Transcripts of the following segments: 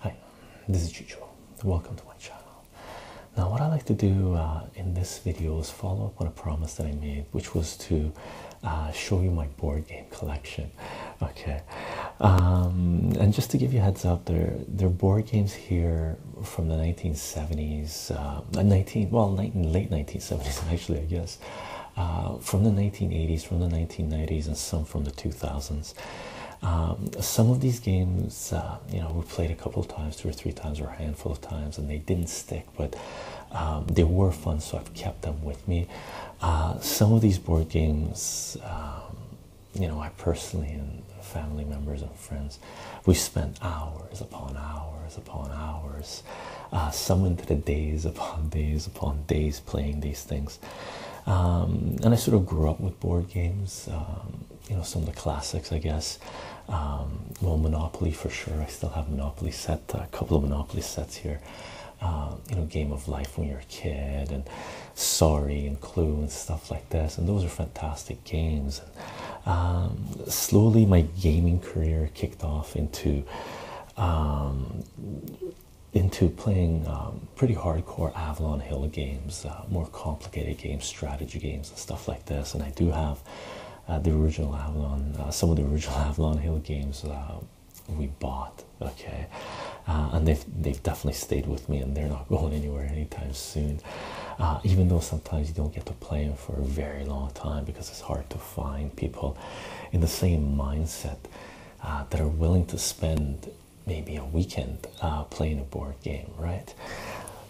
Hi, this is Chicho. Welcome to my channel. Now what I like to do uh, in this video is follow up on a promise that I made, which was to uh, show you my board game collection. Okay, um, and just to give you heads up, there there are board games here from the 1970s uh, 19 well, late 1970s actually, I guess, uh, from the 1980s, from the 1990s, and some from the 2000s. Um, some of these games, uh, you know, we played a couple of times, two or three times, or a handful of times, and they didn't stick, but um, they were fun, so I've kept them with me. some of these board games, um, you know, I personally and family members and friends, we spent hours upon hours upon hours us uh, to the days upon days upon days playing these things. Um, and I sort of grew up with board games, um, you know, some of the classics, I guess. Um, well, Monopoly for sure. I still have Monopoly set, uh, a couple of Monopoly sets here. Uh, you know, Game of Life when you're a kid, and Sorry and Clue and stuff like this. And those are fantastic games. Um, slowly, my gaming career kicked off into um, into playing um, pretty hardcore Avalon Hill games, uh, more complicated games, strategy games, and stuff like this. And I do have uh, the original Avalon, uh, some of the original Avalon Hill games we bought. Okay, and they've they've definitely stayed with me, and they're not going anywhere anytime soon. even though sometimes you don't get to play them for a very long time because it's hard to find people in the same mindset uh, that are willing to spend maybe a weekend uh, playing a board game, right?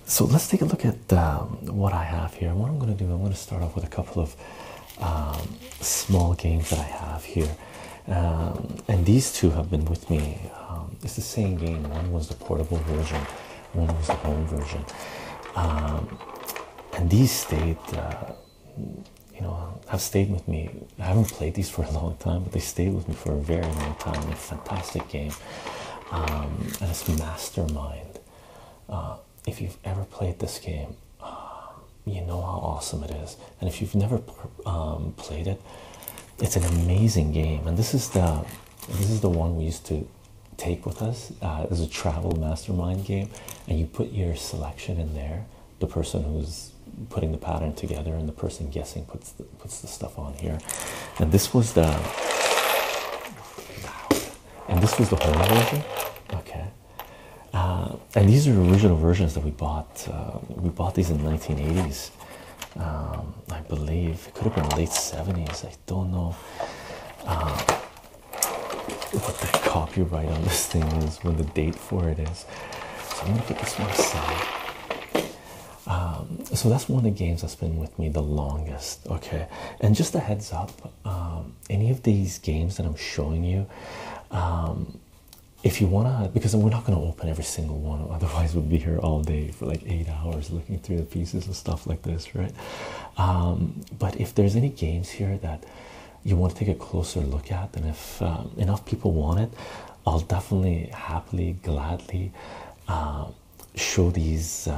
So let's take a look at um, what I have here. What I'm going to do, I'm going to start off with a couple of um, small games that I have here. Um, and these two have been with me. it's the same game. One was the portable version, one was the home version. Um, and these stayed, uh, you know, have stayed with me. I haven't played these for a long time, but they stayed with me for a very long time. they a fantastic game. Um, and it's Mastermind. Uh, if you've ever played this game, um, you know how awesome it is. And if you've never um, played it, it's an amazing game. And this is the this is the one we used to take with us uh, as a travel mastermind game, and you put your selection in there. The person who's putting the pattern together and the person guessing puts the, puts the stuff on here. And this was the and this was the whole version. Okay. Uh, and these are original versions that we bought. Uh, we bought these in 1980s, um, I believe. It could have been late 70s, I don't know ah, what the copyright on this thing is, when the date for it is. So I'm gonna put this one aside. Um, so that's one of the games that's been with me the longest. Okay, and just a heads up, um, any of these games that I'm showing you. Um, if you want to, because we're not going to open every single one, otherwise, we'd be here all day for like eight hours looking through the pieces and stuff like this, right? Um, but if there's any games here that you want to take a closer look at, and if um, enough people want it, I'll definitely happily, gladly um, show these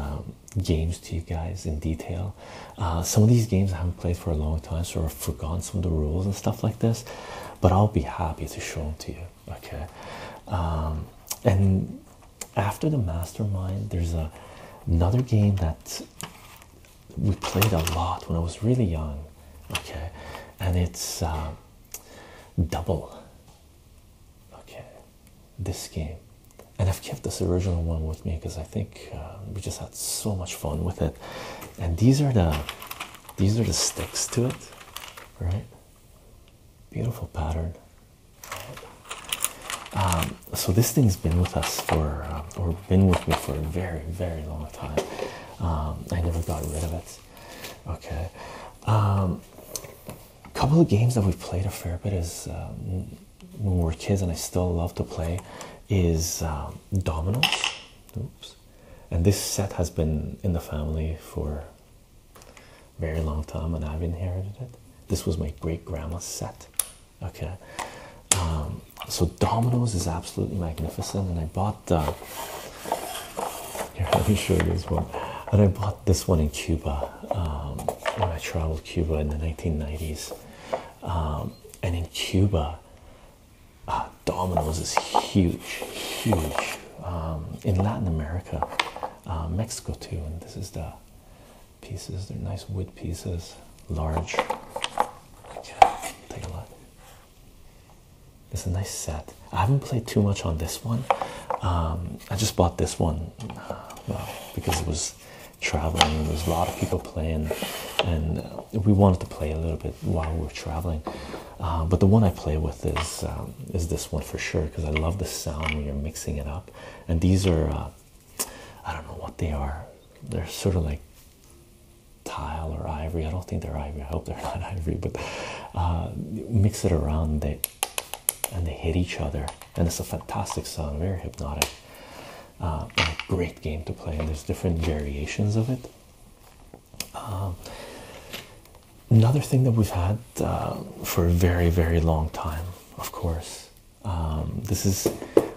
games to you guys in detail. Uh, some of these games I haven't played for a long time, so I've forgotten some of the rules and stuff like this, but I'll be happy to show them to you. Okay, and after the mastermind, there's a, another game that we played a lot when I was really young, okay, and it's um, double. Okay, this game, and I've kept this original one with me because I think um, we just had so much fun with it. And these are the these are the sticks to it, right? Beautiful pattern. Um, so this thing's been with us for, uh, or been with me for a very, very long time. Um, I never got rid of it. Okay. A um, couple of games that we played a fair bit is uh, when we were kids, and I still love to play, is dominoes. Oops. And this set has been in the family for a very long time, and I've inherited it. This was my great grandma's set okay um, so domino's is absolutely magnificent and i bought the uh, here let me show you this one and i bought this one in cuba um, when i traveled cuba in the 1990s um, and in cuba uh, domino's is huge huge in latin america uh, mexico too and this is the pieces. They're nice wood pieces, large. take a look. It's a nice set. I haven't played too much on this one. Um, I just bought this one well, uh, uh, because it was traveling. There was a lot of people playing, and we wanted to play a little bit while we were traveling. Uh, but the one I play with is um, is this one for sure because I love the sound when you're mixing it up. And these are I don't know what they are. They're sort of like tile or ivory. I don't think they're ivory. I hope they're not ivory, but uh, mix it around. They and they hit each other, and it's a fantastic sound. Very hypnotic. Uh, great game to play, and there's different variations of it. Um, another thing that we've had uh, for a very, very long time, of course, um, this is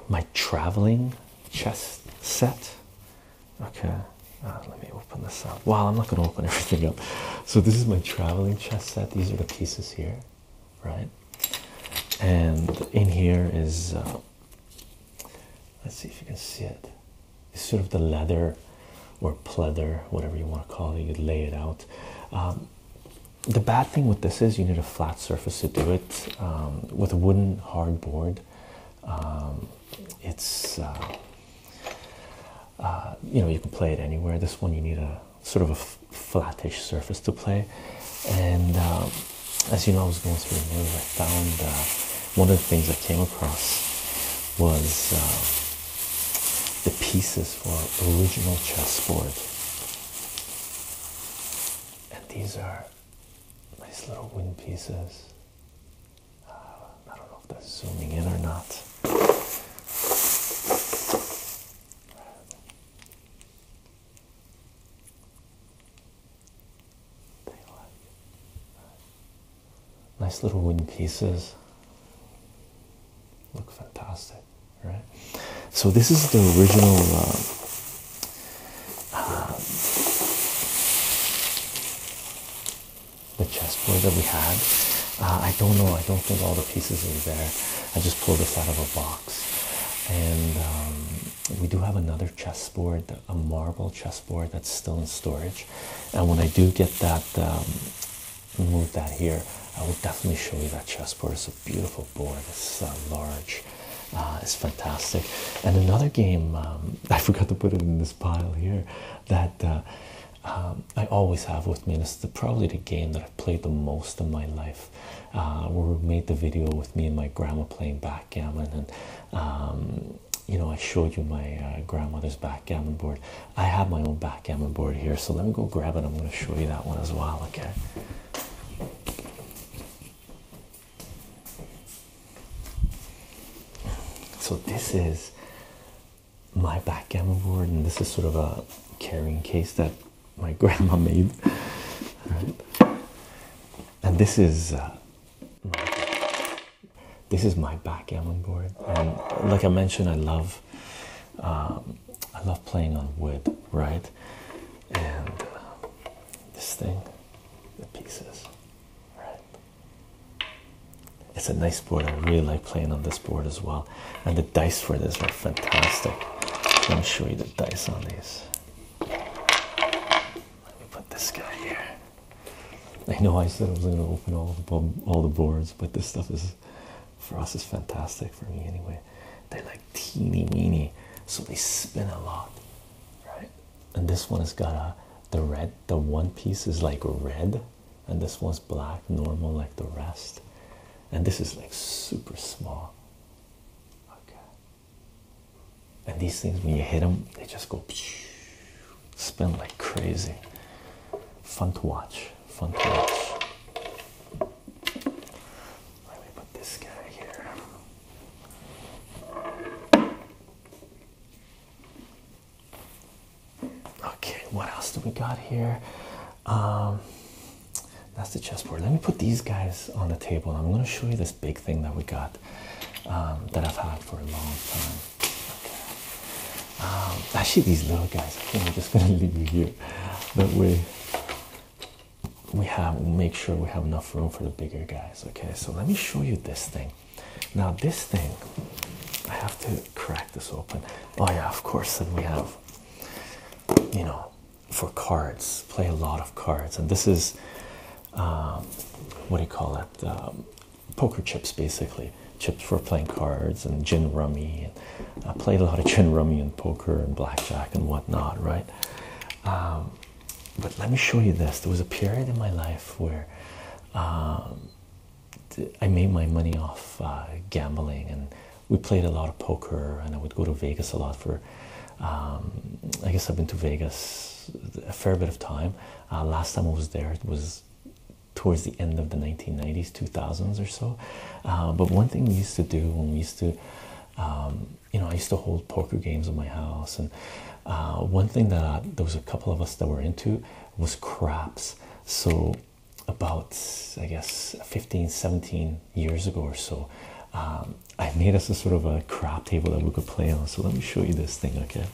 my traveling chess set. Okay, uh, let me open this up. Wow, I'm not going to open everything up. So, this is my traveling chess set. These are the pieces here, right? And in here is, uh, let's see if you can see it. It's sort of the leather or pleather, whatever you want to call it. You lay it out. Um, the bad thing with this is you need a flat surface to do it um, with a wooden hardboard. Um, it's uh, uh, you know you can play it anywhere. This one you need a sort of a flattish surface to play. And um, as you know, I was going through the news. I found uh, one of the things I came across was the pieces for original chessboard and these are nice little wind pieces. Uh, I don't know if that's zooming in or not. Nice little wooden pieces. Look fantastic right? So this is the original. Uh, uh, the chessboard that we had. Uh, I don't know. I don't think all the pieces are there. I just pulled this out of a box, and um, we do have another chessboard, a marble chessboard that's still in storage. And when I do get that um, move that here. I will definitely show you that chessboard. It's a beautiful board. It's uh, large. Uh, it's fantastic. And another game um, I forgot to put it in this pile here that uh, um, I always have with me. And it's probably the game that I've played the most in my life. where we made the video with me and my grandma playing backgammon and. Um, you know, I showed you my grandmother's backgammon board. I have my own backgammon backgammon board here. So let me go grab it. I'm going to show you that one as well. Okay. So this is my backgammon board, and this is sort of a carrying case that my grandma made. And this is uh, this is my backgammon board, and like I mentioned, I love um, I love playing on wood, right? And uh, this thing, the pieces, right? It's a nice board. I really like playing on this board as well. And the dice for this are fantastic. Let me show you the dice on these. Let me put this guy here. I know I said I was going to open all the all the boards, but this stuff is for us is fantastic for me anyway they like teeny weeny so they spin a lot right and this one has got a the red the one piece is like red and this one's black normal like the rest and this is like super small okay and these things when you hit them they just go spin like crazy fun to watch fun to watch. Let me put this guy here. Okay, what else do we got here? Um, that's the chessboard. Let me put these guys on the table. I'm going to show you this big thing that we got um, that I've had for a long time. Okay. Um, actually, these little guys, I think I'm just going to leave you here. But we we have make sure we have enough room for the bigger guys okay so let me show you this thing now this thing i have to crack this open oh yeah of course Then we have you know for cards play a lot of cards and this is um, what do you call it um, poker chips basically chips for playing cards and gin rummy I played a lot of gin rummy and poker and blackjack and whatnot, right? Um, but let me show you this. There was a period in my life where um, I made my money off uh, gambling, and we played a lot of poker. And I would go to Vegas a lot for. Um, I guess I've been to Vegas a fair bit of time. Uh, last time I was there, it was towards the end of the 1990s, 2000s or so. Uh, but one thing we used to do when we used to, um, you know, I used to hold poker games in my house, and uh, one thing that there was a couple of us that were into was craps. So about I guess 15, 17 years ago or so, um, I made us a sort of a craps table that we could play on. So let me show you this thing, okay?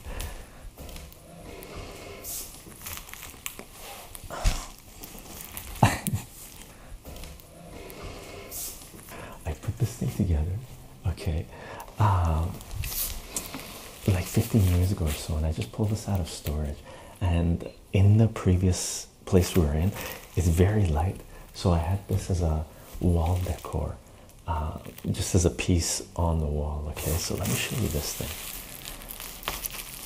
I put this thing together, okay, um, like 15 years ago or so, and I just pulled this out of storage. And in the previous place we were in, it's very light, so I had this as a wall decor, uh, just as a piece on the wall. Okay, so let me show you this thing.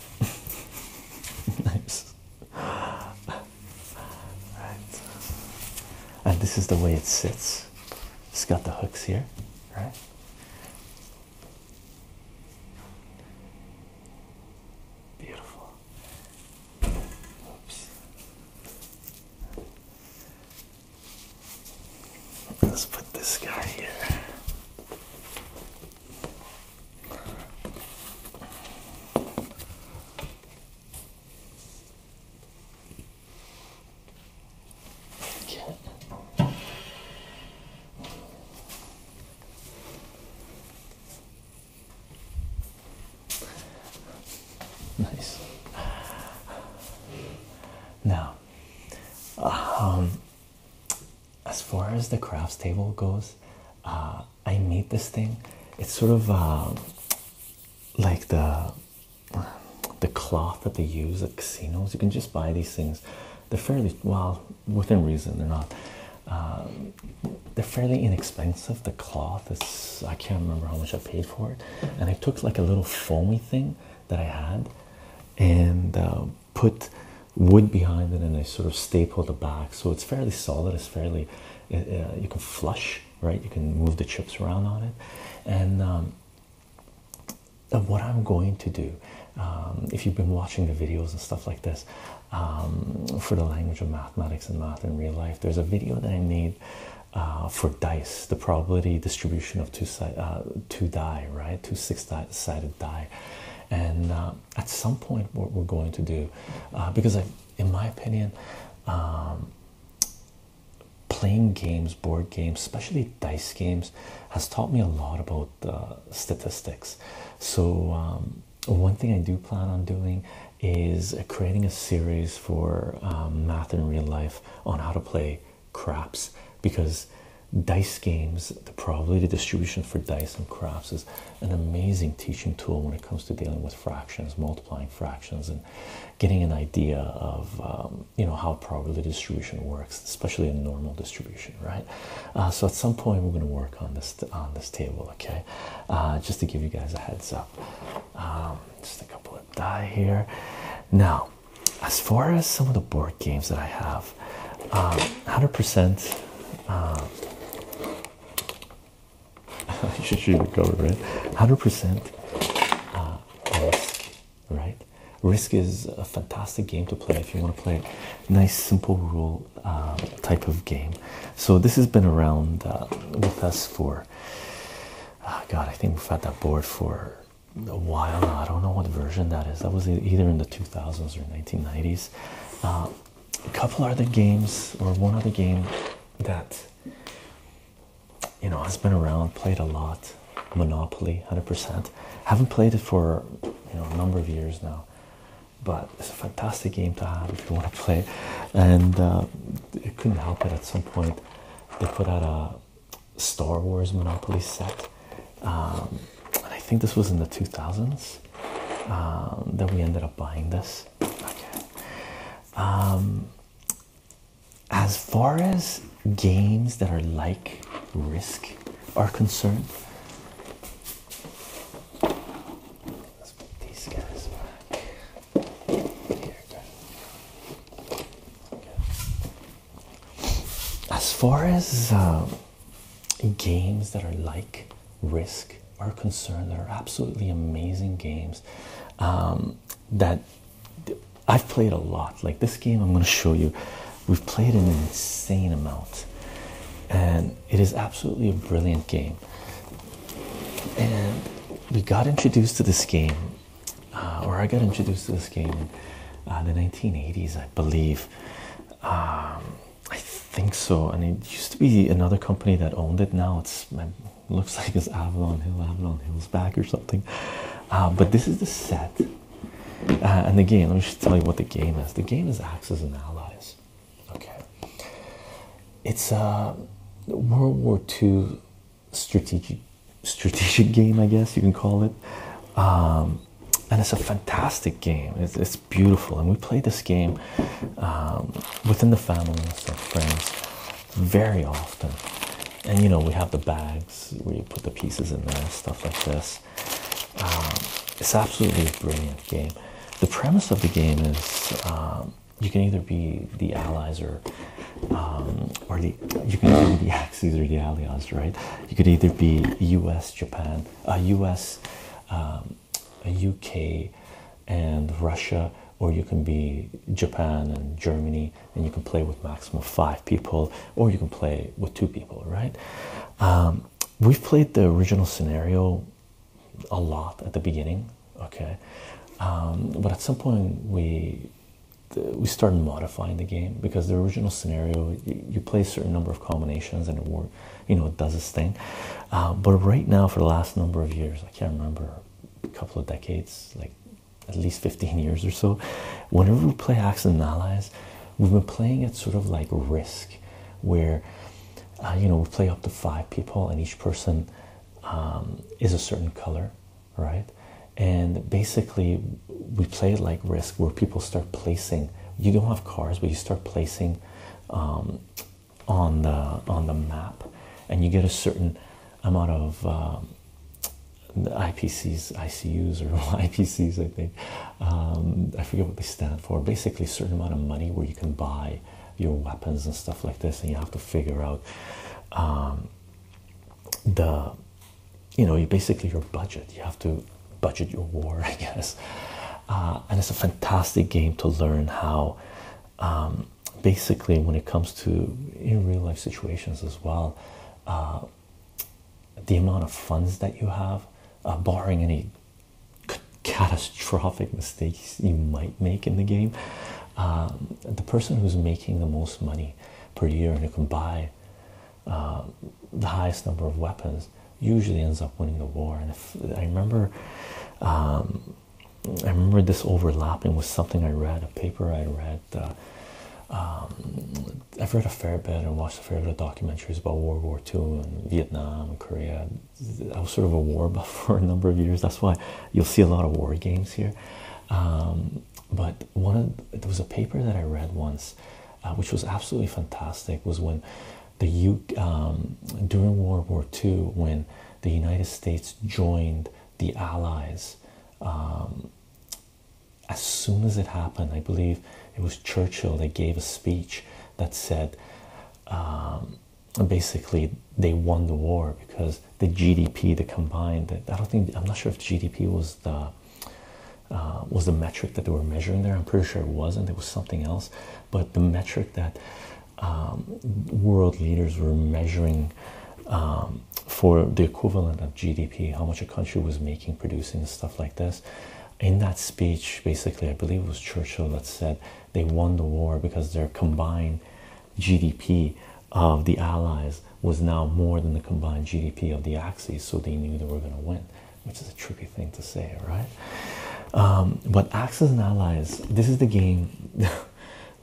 nice. Right. And this is the way it sits. It's got the hooks here, right? Beautiful. Oops. Let's put this guy here. Nice. Now, um, as far as the crafts table goes, uh, I made this thing. It's sort of um, like the the cloth that they use at casinos. You can just buy these things. They're fairly well within reason. They're not. Um, they're fairly inexpensive. The cloth is I can't remember how much I paid for it, and I took like a little foamy thing that I had, and um, put wood behind it and I sort of staple the back, so it's fairly solid. It's fairly uh, uh, you can flush, right? You can move the chips around on it, and um, what I'm going to do, um, if you've been watching the videos and stuff like this, um, for the language of mathematics and math in real life, there's a video that I made. Uh, for dice, the probability distribution of two side, two die, right, two six die to die. And uh, at some point, what we're going to do, uh, because I, in my opinion, um, playing games, board games, especially dice games, has taught me a lot about statistics. So, um, one thing I do plan on doing is creating a series for um, math in real life on how to play Crops because dice games, the probability distribution for dice and crops is an amazing teaching tool when it comes to dealing with fractions, multiplying fractions, and getting an idea of um, you know how probability distribution works, especially a normal distribution, right? Uh, so at some point we're going to work on this on this table, okay? Uh, just to give you guys a heads up. Um, just a couple of die here. Now, as far as some of the board games that I have, 100%. Um, uh, you should read the cover, right? 100%. risk, uh, right? Risk is a fantastic game to play if you want to play a nice, simple rule um, type of game. So, this has been around uh, with us for, ah, God, I think we've had that board for a while now. I don't know what version that is. That was either in the 2000s or 1990s. Uh, a couple other games, or one other game that you know has been around, played a lot. Monopoly, 100%. Haven't played it for you know a number of years now, but it's a fantastic game to have if you want to play. And uh, it couldn't help it at some point. They put out a Star Wars Monopoly set. Um, and I think this was in the 2000s um, that we ended up buying this. Um, as far as games that are like Risk are concerned, let's put these guys back. Here, good. Okay. As far as um, games that are like Risk are concerned, that are absolutely amazing games um, that I've played a lot. Like this game, I'm going to show you, we've played an insane amount, and it is absolutely a brilliant game. And we got introduced to this game, uh, or I got introduced to this game in uh, the 1980s, I believe. Um, I think so, and it used to be another company that owned it. Now it's it looks like it's Avalon Hill, Avalon Hills back or something. Uh, but this is the set, uh, and again, let me just tell you what the game is. The game is Axis and Allies. Okay, it's a uh, World War II strategic strategic game, I guess you can call it. Um, and it's a fantastic game. It's, beautiful, and we play this game um, within the family and friends, very often. And you know, we have the bags where you put the pieces in there, stuff like this. Um, it's absolutely a brilliant game. The premise of the game is um, you can either be the allies or or the you can be the these are the alias, right? You could either be U.S., Japan, U.S., U.K., um, and Russia, or you can be Japan and Germany, and you can play with maximum five people, or you can play with two people, right? Um, we've played the original scenario a lot at the beginning, okay, um, but at some point we we started modifying the game because the original scenario you, play a certain number of combinations and it work, you know it does its thing uh, but right now for the last number of years i can't remember a couple of decades like at least 15 years or so whenever we play acts and allies we've been playing it sort of like risk where uh, you know we play up to five people and each person um, is a certain color right and basically we play it like risk where people start placing you don't have cars but you start placing um, on the on the map and you get a certain amount of the um, IPCs, ICUs, or IPCs, I think. Um, I forget what they stand for. Basically, a certain amount of money where you can buy your weapons and stuff like this, and you have to figure out the you know, you basically your budget. You have to budget your war, I guess. Uh, and it's a fantastic game to learn how, um, basically, when it comes to in real life situations as well, uh, the amount of funds that you have, uh, barring any catastrophic mistakes you might make in the game, um, the person who's making the most money per year and who can buy uh, the highest number of weapons usually ends up winning the war. And I remember, um, I remember this overlapping with something I read, a paper I read. Uh, um, I've read a fair bit and watched a fair bit of documentaries about World War II and Vietnam and Korea. I was sort of a war buff for a number of years. That's why you'll see a lot of war games here. Um, but one of, there was a paper that I read once, uh, which was absolutely fantastic. Was when the U um, during World War II when the United States joined the Allies. Um, as soon as it happened, I believe it was Churchill that gave a speech that said, um, basically, they won the war because the GDP, the combined, I don't think, I'm not sure if GDP was uh, was the metric that they were measuring there. I'm pretty sure it wasn't. It was something else, but the metric that um, world leaders were measuring um, for the equivalent of GDP, how much a country was making, producing, stuff like this. In that speech, basically, I believe it was Churchill that said they won the war because their combined GDP of the Allies was now more than the combined GDP of the Axis, so they knew they were going to win, which is a tricky thing to say, right? but um, axis and allies, this is the game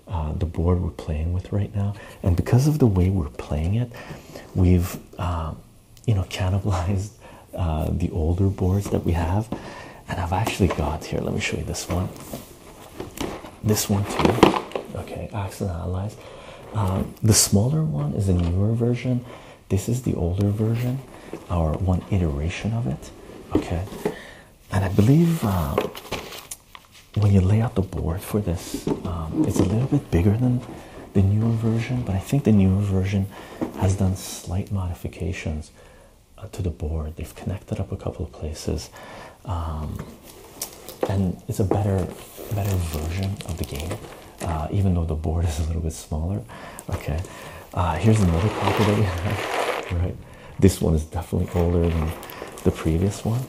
uh, the board we're playing with right now, and because of the way we're playing it, we've um, you know cannibalized uh, the older boards that we have, and I've actually got here. Let me show you this one. This one too. Okay, axis and allies. Um, the smaller one is a newer version. This is the older version, or one iteration of it. Okay, and I believe uh, when you lay out the board for this, um, it's a little bit bigger than the newer version, but I think the newer version has done slight modifications uh, to the board. They've connected up a couple of places, um, and it's a better better version of the game, uh, even though the board is a little bit smaller. Okay, uh, here's another copy that we have. Right, this one is definitely older than the previous one.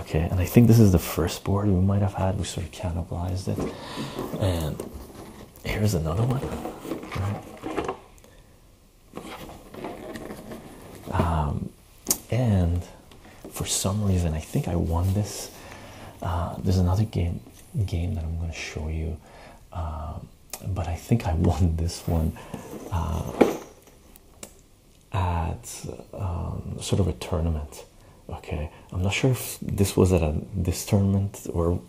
Okay, and I think this is the first board we might have had. We sort of cannibalized it, and here's another one. Right. Um, and for some reason. I think I won this. Uh, there's another game that I'm going to show you, uh, but I think I won this one uh, at um, sort of a tournament. Okay, I'm not sure if this was at this tournament or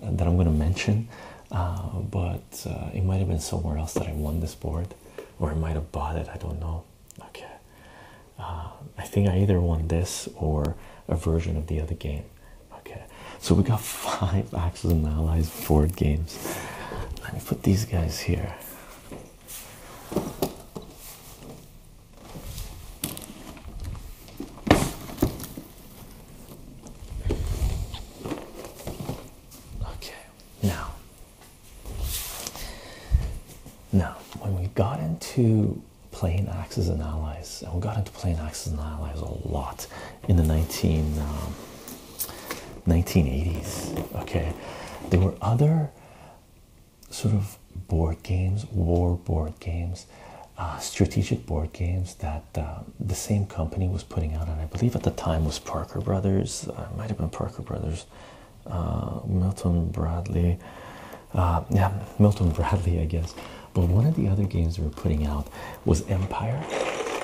that I'm going to mention, but it might have been somewhere else that I won this board, or I might have bought it. I don't know. Okay, uh, I think I either won this or a version of the other game. Okay, so we got five Axis and Allies board games. Let me put these guys here. Okay, now now, when we got into playing Axis and allies, and we got into playing Axis and allies a lot in the 19, um, 1980s, okay, there were other sort of board games, war board games, uh, strategic board games that uh, the same company was putting out, and I believe at the time was Parker Brothers. it uh, might have been Parker Brothers uh, Milton Bradley, uh, yeah, Milton Bradley, I guess. But one of the other games we were putting out was Empire,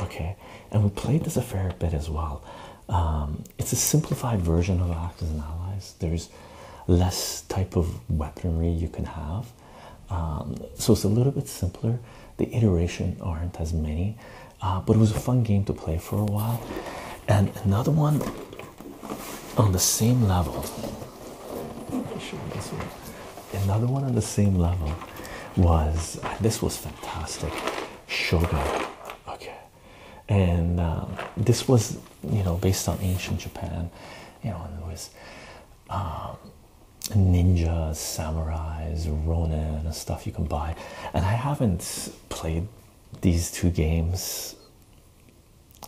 okay, and we played this a fair bit as well. Um, it's a simplified version of Axis and Allies. There's less type of weaponry you can have, um, so it's a little bit simpler. The iteration aren't as many, uh, but it was a fun game to play for a while. And another one on the same level. Another one on the same level was this was fantastic, Shogun. Okay, and um, this was you know based on ancient Japan, you know, with it um, ninjas, samurais, ronin, and stuff you can buy. And I haven't played these two games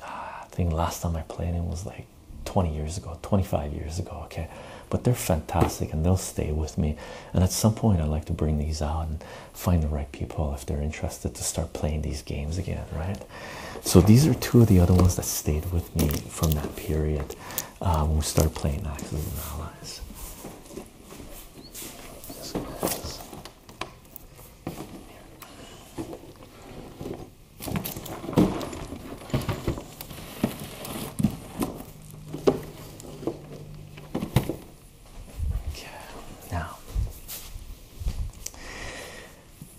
Ah, I think last time I played it was like 20 years ago, 25 years ago. Okay, but they're fantastic and they'll stay with me. And at some point, I would like to bring these out and find the right people if they're interested to start playing these games again, right? So, these are two of the other ones that stayed with me from that period uh, when we started playing Axis and Allies. Okay, now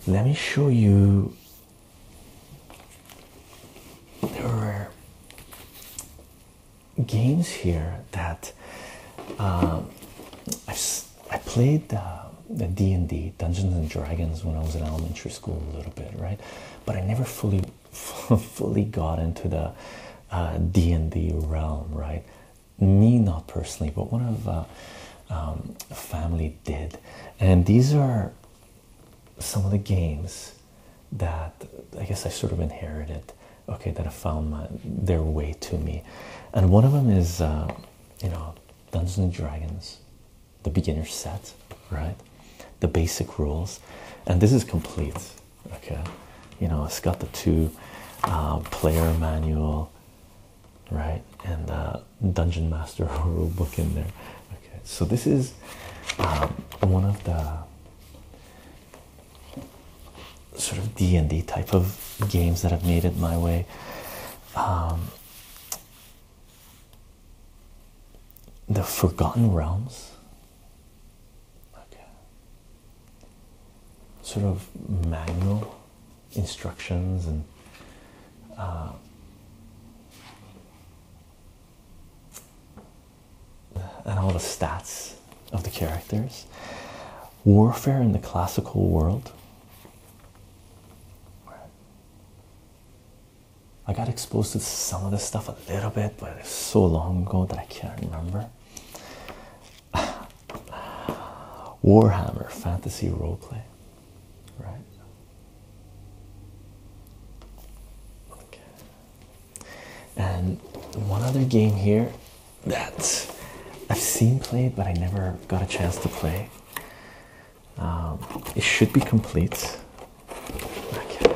let me show you. There are games here that um, I've I played uh, the D and D Dungeons and Dragons when I was in elementary school a little bit, right? But I never fully, fully got into the uh, D and D realm, right? Me not personally, but one of uh, um, family did, and these are some of the games that I guess I sort of inherited okay that have found their way to me and one of them is uh, you know Dungeons and Dragons the beginner set right the basic rules and this is complete okay you know it's got the two uh, player manual right and the uh, dungeon master rule book in there okay so this is um, one of the sort of D and D type of games that have made it my way. Um, the Forgotten Realms. Sort of manual instructions and uh, and all the stats of the characters. Warfare in the classical world. I got exposed to some of this stuff a little bit, but it's so long ago that I can't remember. Warhammer fantasy roleplay, right? And one other game here that I've seen played, but I never got a chance to play. Um, it should be complete. Okay.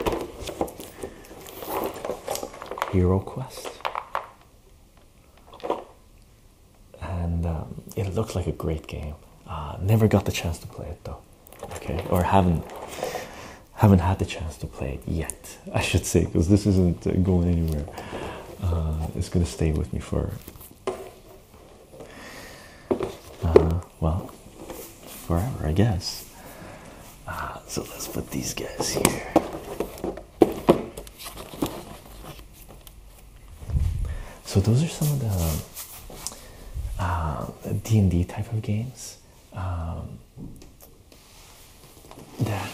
Hero Quest, and um, it looks like a great game. Uh, never got the chance to play it though. Okay, or haven't haven't had the chance to play it yet. I should say, because this isn't uh, going anywhere. Uh, it's going to stay with me for, uh, well, forever, I guess. so let's put these guys here. So those are some of the D&D type of games. Um, that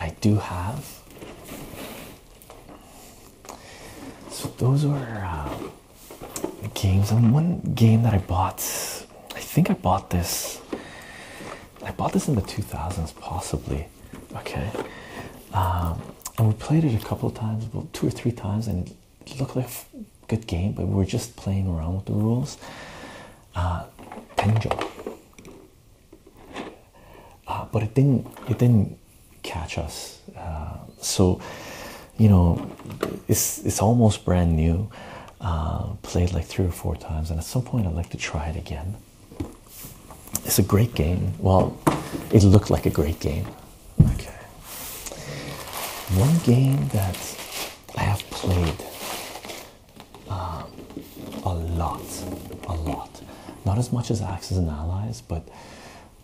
I do have. So those were uh, games, and one game that I bought. I think I bought this. I bought this in the 2000s, possibly. Okay, um, and we played it a couple of times, two or three times, and it looked like a good game, but we we're just playing around with the rules. Tenjo. Uh, uh, but it didn't it didn't catch us uh, so you know it's it's almost brand new uh, played like three or four times and at some point I'd like to try it again it's a great game well it looked like a great game okay one game that I have played um, a lot, a lot. Not as much as Axis and Allies, but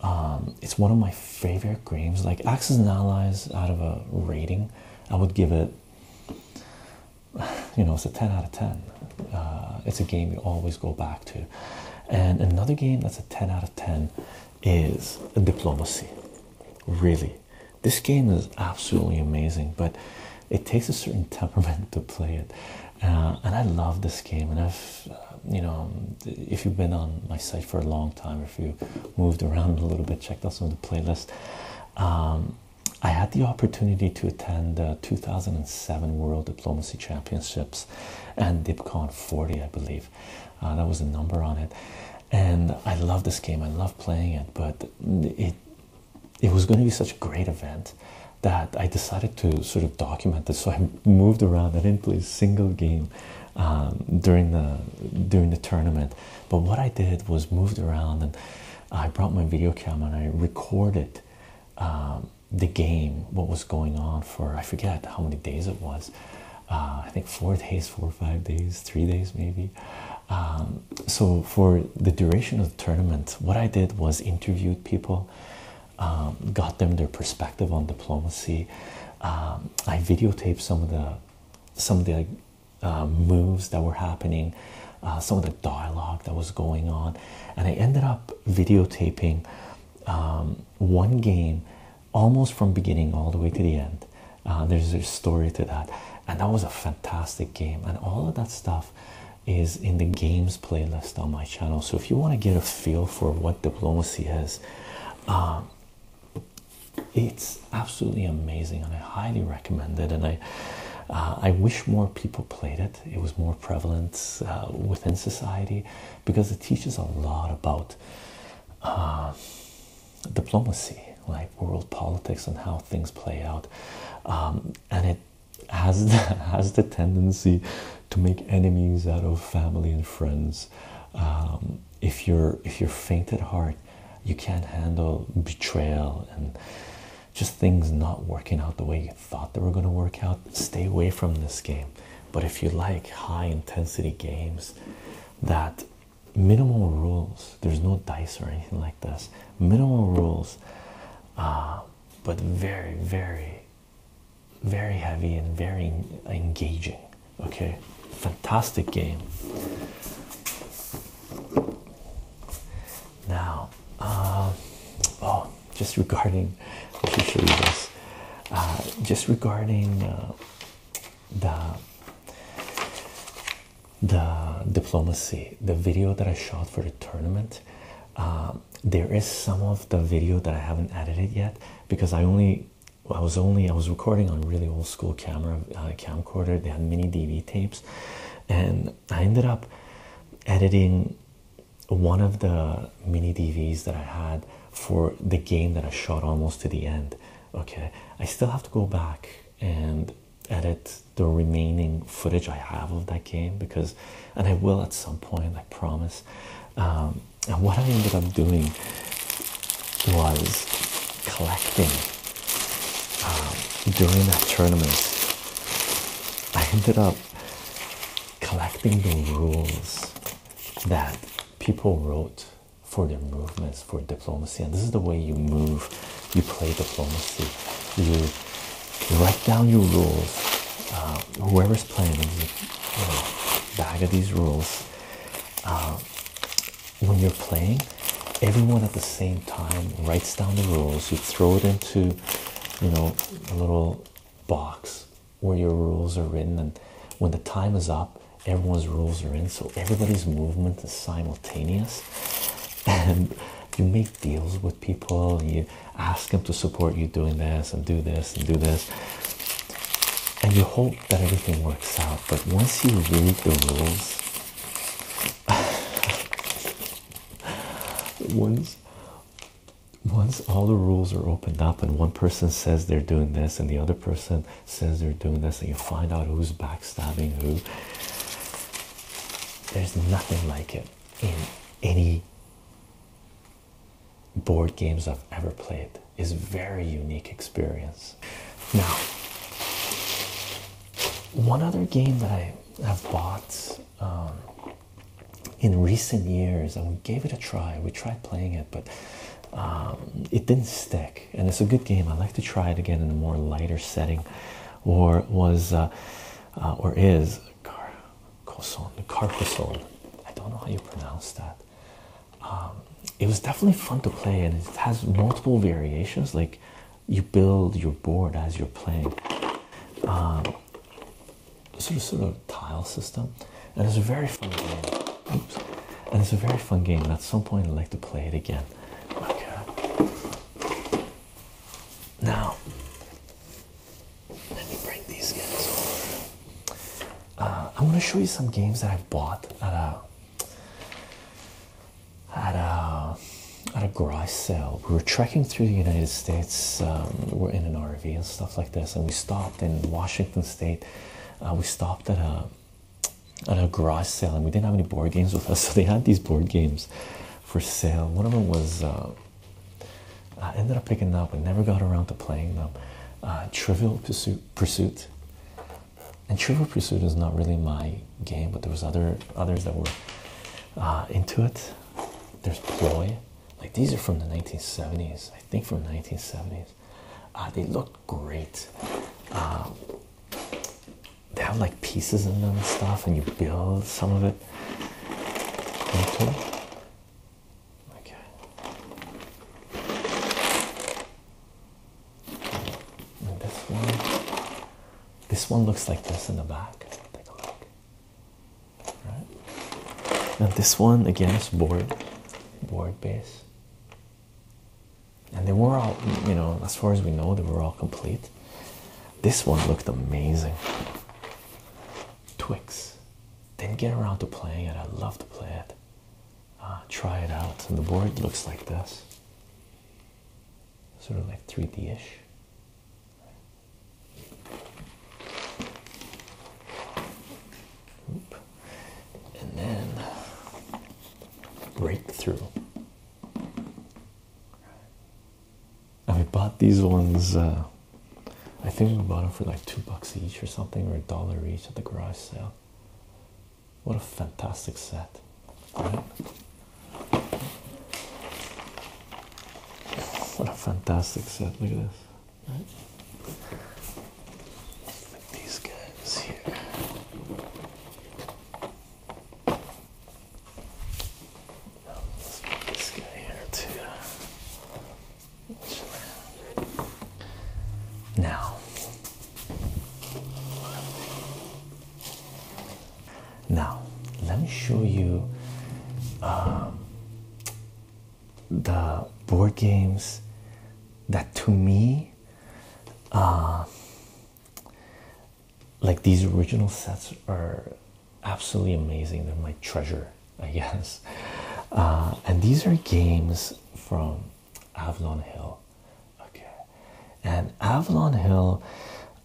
um, it's one of my favorite games. Like Axis and Allies, out of a rating, I would give it. You know, it's a ten out of ten. Uh, it's a game you always go back to. And another game that's a ten out of ten is Diplomacy. Really, this game is absolutely amazing, but it takes a certain temperament to play it. Uh, and I love this game. And I've, uh, you know, if you've been on my site for a long time, if you moved around a little bit, checked out some of the playlists. Um, I had the opportunity to attend the 2007 World Diplomacy Championships and DipCon 40, I believe. Uh, that was the number on it. And I love this game, I love playing it, but it it was going to be such a great event that I decided to sort of document it. So I moved around. I didn't play a single game um, during the during the tournament. But what I did was moved around, and I brought my video camera and I recorded um, the game, what was going on for I forget how many days it was. Uh, I think four days, four or five days, three days maybe. Um, so for the duration of the tournament, what I did was interviewed people, um, got them their perspective on diplomacy. Um, I videotaped some of the some of the uh, moves that were happening, uh, some of the dialogue that was going on, and I ended up videotaping um, one game almost from beginning all the way to the end. Uh, there's a story to that, and that was a fantastic game, and all of that stuff is in the games playlist on my channel. So if you want to get a feel for what diplomacy is, um, it's absolutely amazing, and I highly recommend it. And I, uh, I wish more people played it. It was more prevalent uh, within society because it teaches a lot about uh, diplomacy, like world politics and how things play out, um, and it has the, has the tendency to make enemies out of family and friends. Um, if you're if you're faint at heart, you can't handle betrayal and just things not working out the way you thought they were going to work out. Stay away from this game. But if you like high intensity games, that minimal rules. There's no dice or anything like this. Minimal rules but very, very, very heavy and very engaging. Okay, fantastic game. Now, uh, oh, just regarding, uh, just regarding uh, the the diplomacy, the video that I shot for the tournament. Um, there is some of the video that I haven't edited yet because I only I was only I was recording on really old school camera uh, camcorder. They had mini DV tapes, and I ended up editing one of the mini DVs that I had for the game that I shot almost to the end. Okay, I still have to go back and edit the remaining footage I have of that game because, and I will at some point, I promise. Um, and what I ended up doing was collecting um, during that tournament. I ended up collecting the rules that people wrote for their movements for diplomacy, and this is the way you move you play diplomacy, you write down your rules. Uh, whoever's playing, you, you bag of these rules. Uh, when you're playing, everyone at the same time writes down the rules. You throw it into, you know, a little box where your rules are written, and when the time is up, everyone's rules are in. So everybody's movement is simultaneous, and you make deals with people, you ask them to support you doing this and do this and do this, and you hope that everything works out. But once you read the rules, once once all the rules are opened up and one person says they're doing this and the other person says they're doing this and you find out who's backstabbing who there's nothing like it in any board games I've ever played. Is very unique experience. Now, one other game that I have bought um, in recent years, and we gave it a try. We tried playing it, but um, it didn't stick. And it's a good game. I like to try it again in a more lighter setting. Or was uh, uh, or is Car Carcassonne. I don't know how you pronounce that. Um, it was definitely fun to play, and it has multiple variations. Like you build your board as you're playing. Um, sort of sort of tile system, and it's a very fun game. And it's a very fun game. And at some point, I'd like to play it again. Now, let me bring these games I'm going to show you some games that I bought at a at a garage sale. We were trekking through the United States. Um, we're in an RV and stuff like this, and we stopped in Washington State. Uh, we stopped at a at a garage sale, and we didn't have any board games with us, so they had these board games for sale. One of them was uh, I ended up picking up and never got around to playing them. Uh, Trivial Pursuit, and Trivial Pursuit is not really my game, but there was other others that were uh, into it. There's Ploy, like these are from the 1970s, I think from 1970s. they look great. Um, they have like pieces in them and stuff, and you build some of it. Okay. And this one, this one looks like this in the back. Take a look. Right. Now this one again is board, board base. And they were all, you know, as far as we know, they were all complete. This one looked amazing. Twix. Didn't get around to playing it. I love to play it. Ah, try it out. And the board looks like this. Sort of like 3D-ish. And then breakthrough and we bought these ones uh, i think we bought them for like two bucks each or something or a dollar each at the garage sale what a fantastic set what a fantastic set look at this These guys here. Now, now let me show you um, the board games that to me uh, like these original sets are absolutely amazing. They're my treasure, I guess. Uh, and these are games from Avalon Hill. Okay. And Avalon Hill,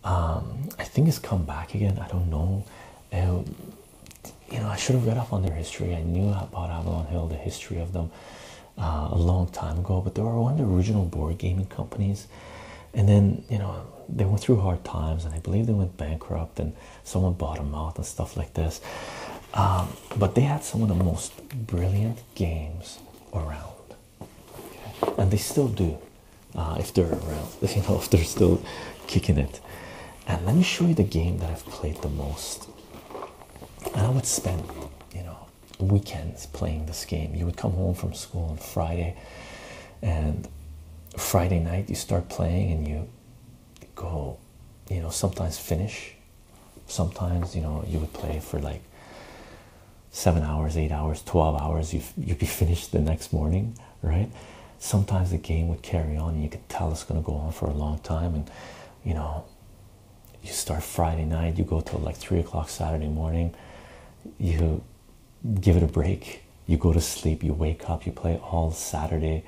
um, I think has come back again. I don't know. Um, you know, I should have read up on their history. I knew about Avalon Hill, the history of them, uh, a long time ago. But they were one of the original board gaming companies, and then you know they went through hard times and I believe they went bankrupt and someone bought them out and stuff like this um, but they had some of the most brilliant games around and they still do uh, if they're around you know if they're still kicking it and let me show you the game that I've played the most and I would spend you know weekends playing this game. You would come home from school on Friday, and Friday night you start playing, and you go, you know, sometimes finish. Sometimes, you know, you would play for like seven hours, eight hours, 12 hours. You you'd be finished the next morning, right? Sometimes the game would carry on, and you could tell it's going to go on for a long time, and you know. You start Friday night, you go till like three o'clock Saturday morning, you give it a break. You go to sleep, you wake up, you play all Saturday,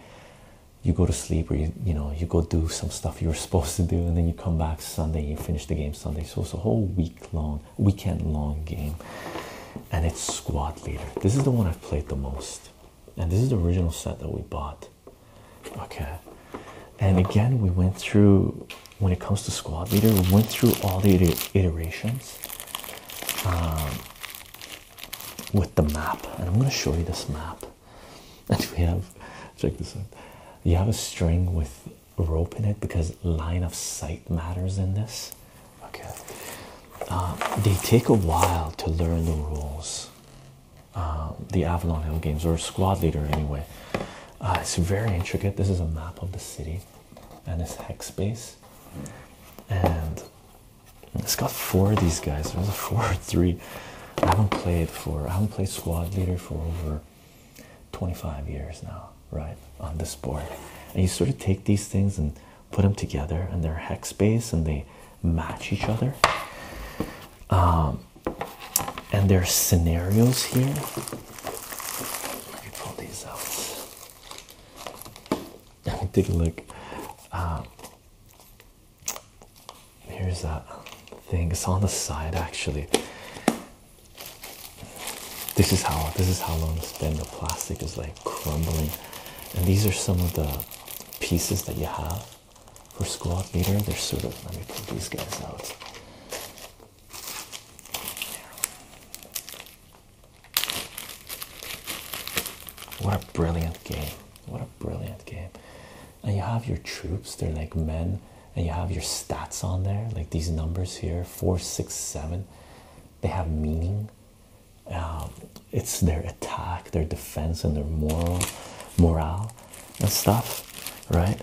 you go to sleep, or you, you know, you go do some stuff you were supposed to do, and then you come back Sunday, you finish the game Sunday. So it's a whole week long, weekend long game. And it's squad leader. This is the one I've played the most. And this is the original set that we bought. Okay. And again, we went through when it comes to squad leader. We went through all the iterations um, with the map, and I'm going to show you this map. And we have, check this out. You have a string with rope in it because line of sight matters in this. Okay, um, they take a while to learn the rules. Um, the Avalon Hill games or squad leader anyway. Uh, it's very intricate. This is a map of the city and it's hex base and it's got four of these guys there's a four or three i haven't played for i haven't played squad leader for over 25 years now right on this board and you sort of take these things and put them together and they're hex base and they match each other um and there's scenarios here let me pull these out. Take a look. Um, here's that thing. It's on the side actually. This is how this is how long it's been. The plastic is like crumbling, and these are some of the pieces that you have for squad leader. They're sort of. Let me pull these guys out. What a brilliant game! What a brilliant game! And you have your troops, they're like men, and you have your stats on there, like these numbers here four, six, seven. They have meaning. Um, it's their attack, their defense, and their moral morale and stuff, right?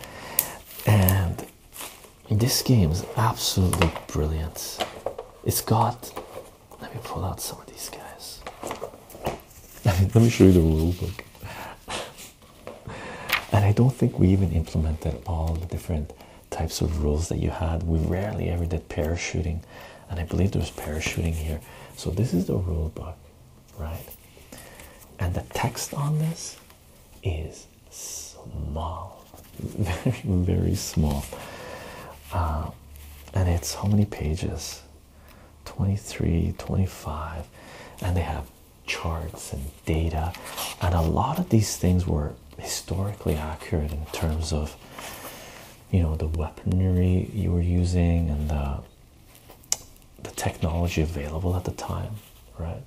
And this game is absolutely brilliant. It's got. Let me pull out some of these guys. let me show you the rule book. And I don't think we even implemented all the different types of rules that you had. We rarely ever did parachuting, and I believe there was parachuting here. So this is the rule book, right? And the text on this is small, very, very small. Uh, and it's how many pages? 23, 25. And they have charts and data. And a lot of these things were historically accurate in terms of, you know, the weaponry you were using and the the technology available at the time, right?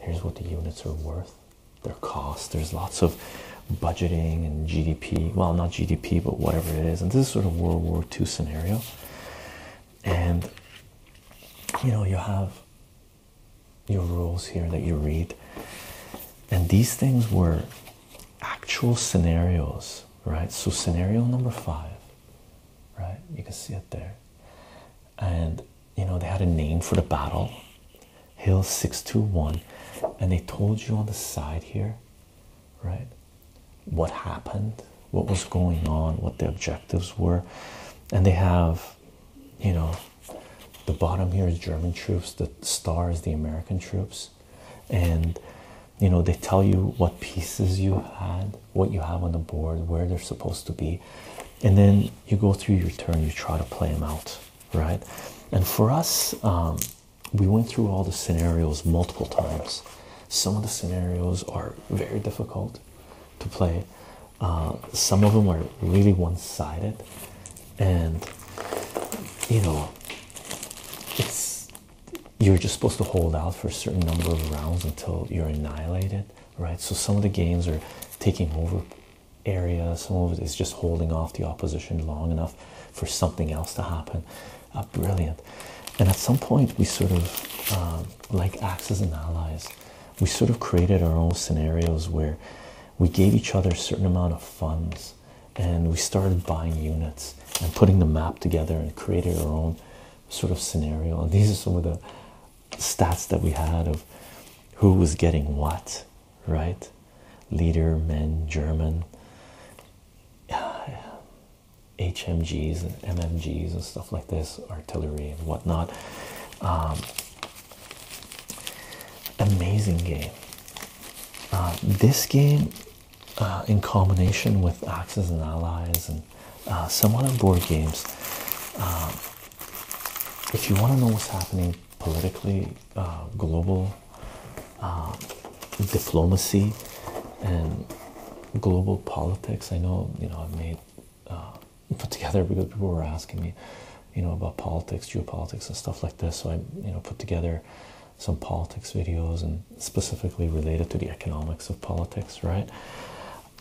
Here's what the units are worth their costs. There's lots of budgeting and GDP. Well, not GDP, but whatever it is. And this is sort of World War II scenario. And you know, you have your rules here that you read. And these things were actual scenarios, right? So, scenario number five, right? You can see it there and you know they had a name for the battle hill 621 and they told you on the side here right what happened what was going on what the objectives were and they have you know the bottom here is german troops the star is the american troops and you know they tell you what pieces you had what you have on the board where they're supposed to be and then you go through your turn, you try to play them out, right? And for us, um, we went through all the scenarios multiple times. Some of the scenarios are very difficult to play, uh, some of them are really one sided, and you know, it's you're just supposed to hold out for a certain number of rounds until you're annihilated, right? So some of the games are taking over area, some of it is just holding off the opposition long enough for something else to happen. Uh, brilliant. And at some point, we sort of, um, like Axis and Allies, we sort of created our own scenarios where we gave each other a certain amount of funds and we started buying units and putting the map together and created our own sort of scenario. And these are some of the stats that we had of who was getting what, right? Leader, men, German, HMGs and MMGs and stuff like this, artillery and whatnot. Um, amazing game. Uh, this game, uh, in combination with Axis and Allies and uh, some other board games, um, if you want to know what's happening politically, uh, global uh, diplomacy, and global politics, I know you know I've made uh, put together because people were asking me, you know, about politics, geopolitics, and stuff like this. So I you know put together some politics videos and specifically related to the economics of politics, right?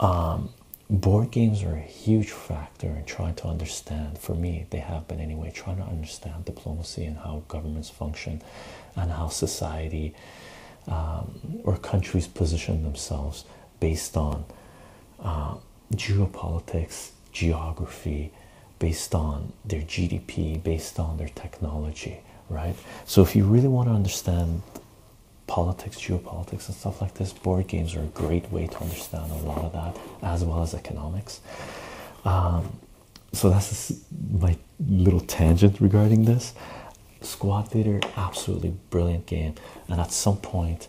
Um, board games are a huge factor in trying to understand for me they have been anyway trying to understand diplomacy and how governments function and how society um, or countries position themselves based on uh, geopolitics geography based on their gdp based on their technology right so if you really want to understand politics, geopolitics, and stuff like this. Board games are a great way to understand a lot of that, as well as economics. Um, so that's my little tangent regarding this. Squad Leader, absolutely brilliant game, and at some point,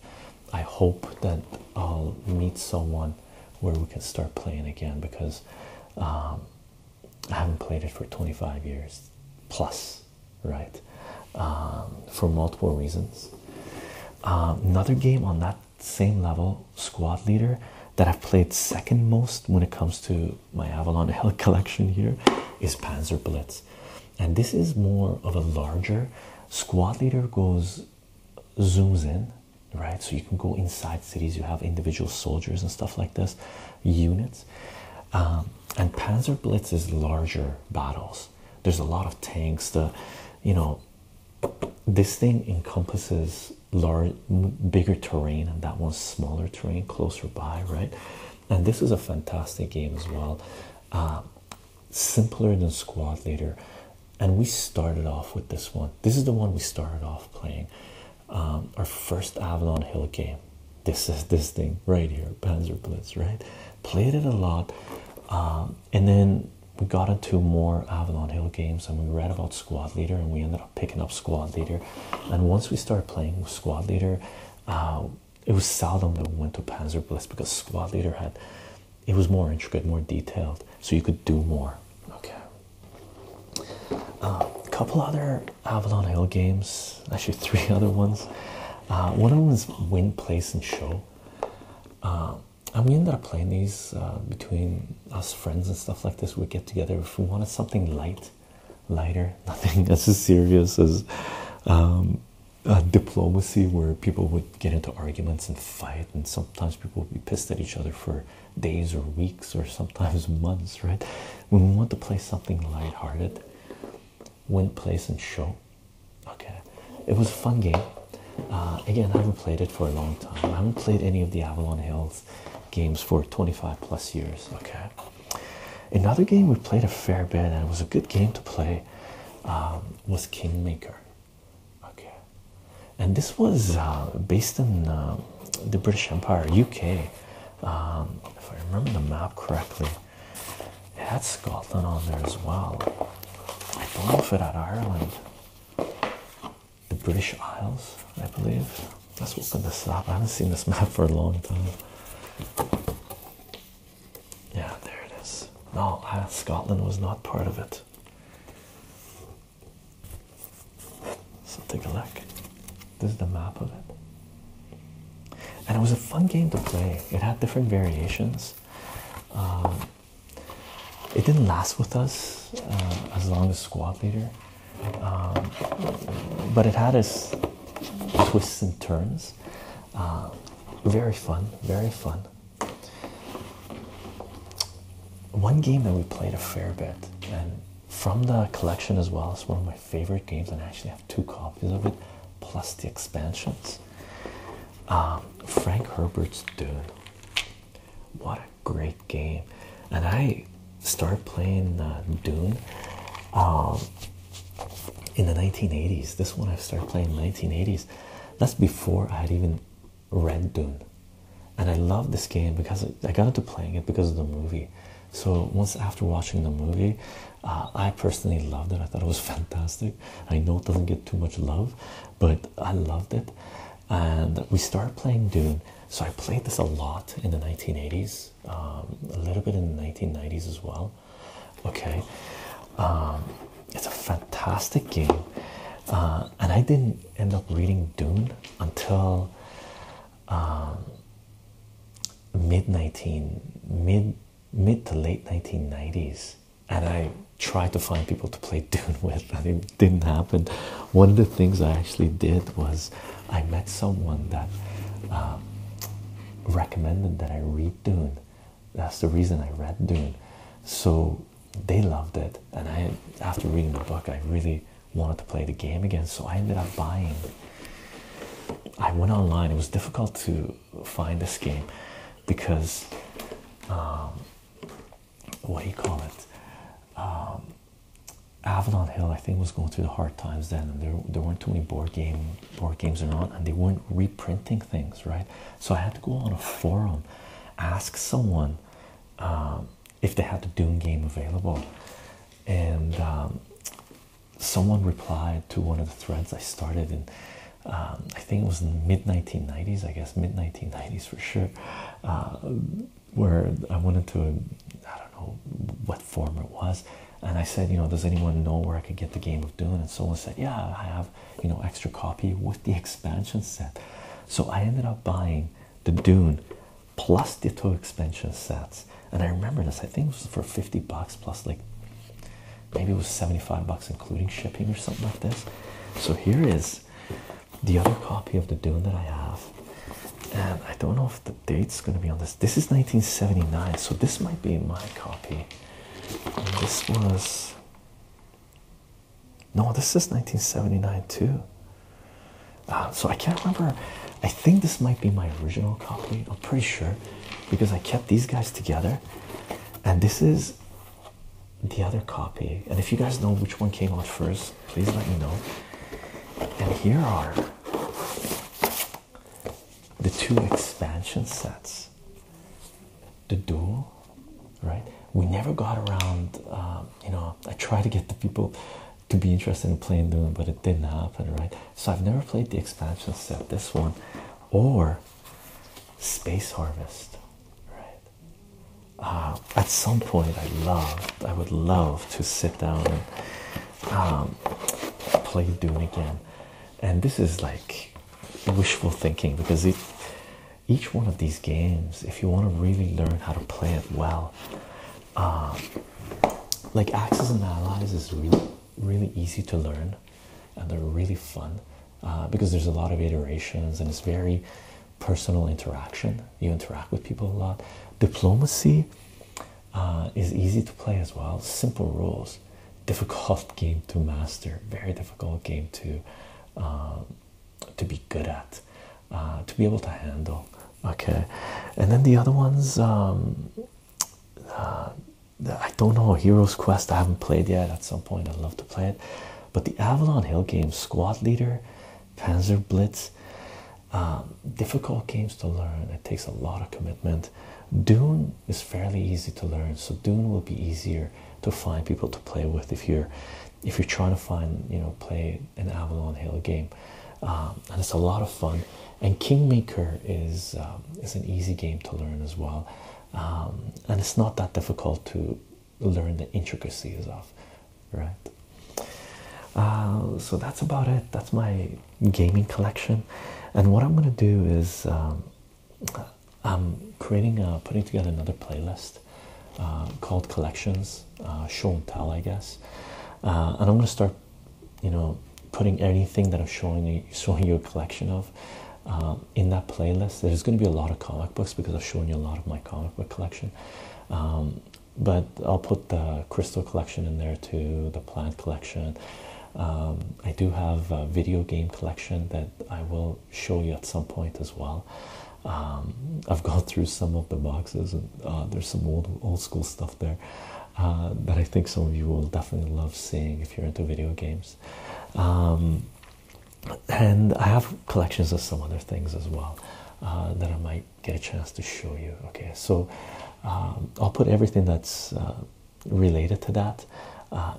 I hope that I'll meet someone where we can start playing again because um, I haven't played it for 25 years plus right? Um, for multiple reasons. Um, another game on that same level, Squad Leader, that I've played second most when it comes to my Avalon Hill collection here is Panzer Blitz. And this is more of a larger squad leader goes zooms in, right? So you can go inside cities, you have individual soldiers and stuff like this, units. Um, and Panzer Blitz is larger battles, there's a lot of tanks. The, you know, this thing encompasses large, bigger terrain, and that one's smaller terrain closer by, right? And this is a fantastic game as well. Uh, simpler than Squad Leader, and we started off with this one. This is the one we started off playing. Um, our first Avalon Hill game. This is this thing right here, Panzer Blitz, right? played it a lot, um, and then we got into more Avalon Hill games, and we read about Squad Leader, and we ended up picking up Squad Leader. And once we started playing with Squad Leader, um, it was seldom that we went to Panzer Blitz because Squad Leader had it was more intricate, more detailed, so you could do more. Okay. A um, couple other Avalon Hill games, actually three other ones. Uh, one of them is Win, Place, and Show. Um, and we ended up playing these uh, between us friends and stuff like this. We get together if we wanted something light, lighter, nothing as serious as um, diplomacy, where people would get into arguments and fight, and sometimes people would be pissed at each other for days or weeks or sometimes months. Right? When we want to play something lighthearted, Went place, and show. Okay, it was a fun game. Uh, again, I haven't played it for a long time. I haven't played any of the Avalon Hills games for 25 plus years. Okay, another game we played a fair bit and it was a good game to play um, was Kingmaker. Okay, and this was uh, based in um, the British Empire, UK. Um, if I remember the map correctly, it had Scotland on there as well. I don't know if it had Ireland. The British Isles, I believe. Let's open this up. I haven't seen this map for a long time. Yeah, there it is. No, Scotland was not part of it. So take a look. This is the map of it. And it was a fun game to play. It had different variations. Um, it didn't last with us uh, as long as Squad Leader, um, but it had its twists and turns. Uh, very fun, very fun. One game that we played a fair bit, and from the collection as well, it's one of my favorite games, and I actually have two copies of it, plus the expansions. Um, Frank Herbert's Dune. What a great game! And I started playing uh, Dune um, in the 1980s. This one I started playing in the 1980s. That's before I had even read Dune. And I love this game because I got into playing it because of the movie. So once after watching the movie, uh, I personally loved it. I thought it was fantastic. I know it doesn't get too much love, but I loved it. And we started playing Dune. So I played this a lot in the 1980s, um, a little bit in the 1990s as well. Okay, um, it's a fantastic game. Uh, and I didn't end up reading Dune until um, mid 19 mid mid to late 1990s, and I tried to find people to play Dune with, and it didn't happen. One of the things I actually did was I met someone that uh, recommended that I read Dune. That's the reason I read Dune. So they loved it, and I, after reading the book, I really wanted to play the game again. So I ended up buying. I went online. It was difficult to find this game because um, what do you call it? Um, Avalon Hill, I think, was going through the hard times then, and there there weren't too many board game board games around, and they weren't reprinting things, right? So I had to go on a forum, ask someone um, if they had the Doom game available, and someone replied to one of the threads I started in. Um, I think it was mid 1990s, I guess mid 1990s for sure, uh, where I wanted to I I don't know what form it was, and I said, you know, does anyone know where I could get the Game of Dune? And someone said, yeah, I have, you know, extra copy with the expansion set. So I ended up buying the Dune plus the two expansion sets, and I remember this. I think it was for 50 bucks plus like maybe it was 75 bucks including shipping or something like this so here is the other copy of the dune that i have and i don't know if the date's going to be on this this is 1979 so this might be my copy this was no this is 1979 too uh, so i can't remember i think this might be my original copy i'm pretty sure because i kept these guys together and this is the other copy. And if you guys know which one came out first, please let me know. And here are the two expansion sets the duel, right? We never got around, um, you know. I tried to get the people to be interested in playing Doom, but it didn't happen, right? So I've never played the expansion set, this one, or Space Harvest, right? Uh, at some point, I loved, I would love to sit down and um, play Dune again. And this is like wishful thinking because each one of these games, if you want to really learn how to play it well, uh, like Axis and Allies is really really easy to learn and they're really fun uh, because there's a lot of iterations and it's very personal interaction. You interact with people a lot. Diplomacy uh, is easy to play as well. Simple rules, difficult game to master, very difficult game to um, to be good at, uh, to be able to handle. Okay, and then the other ones. Um, I don't know Heroes Quest. I haven't played yet. At some point, I'd love to play it. But the Avalon Hill games, Squad Leader, Panzer Blitz, um, difficult games to learn. It takes a lot of commitment. Dune is fairly easy to learn, so Dune will be easier to find people to play with if you're if you're trying to find you know play an Avalon Hill game. Um, and it's a lot of fun and Kingmaker is um, is an easy game to learn as well, um, and it's not that difficult to learn the intricacies of, right? Uh, so that's about it. That's my gaming collection, and what I'm gonna do is um, I'm creating a, putting together another playlist uh, called Collections uh, Show and Tell, I guess, and I'm gonna start you know putting anything that I'm showing you showing you a collection of um, in that playlist. There's going to be a lot of comic books because I've shown you a lot of my comic book collection. Um, but I'll put the crystal collection in there too, the plant collection. Um, I do have a video game collection that I will show you at some point as well. I've gone through some of the boxes and uh, there's some old old school stuff there that uh, I think some of you will definitely love seeing if you're into video games. Um, and I have collections of some other things as well uh, that I might get a chance to show you. Okay, so um, I'll put everything that's uh, related to that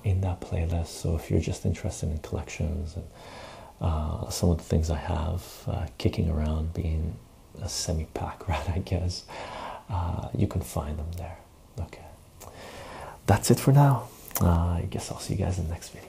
in that playlist. So if you're just interested in collections and some of the things I have kicking around, being a semi pack rat, I guess, you can find them there. Okay, that's it for now. Uh, I guess I'll see you guys in the next video.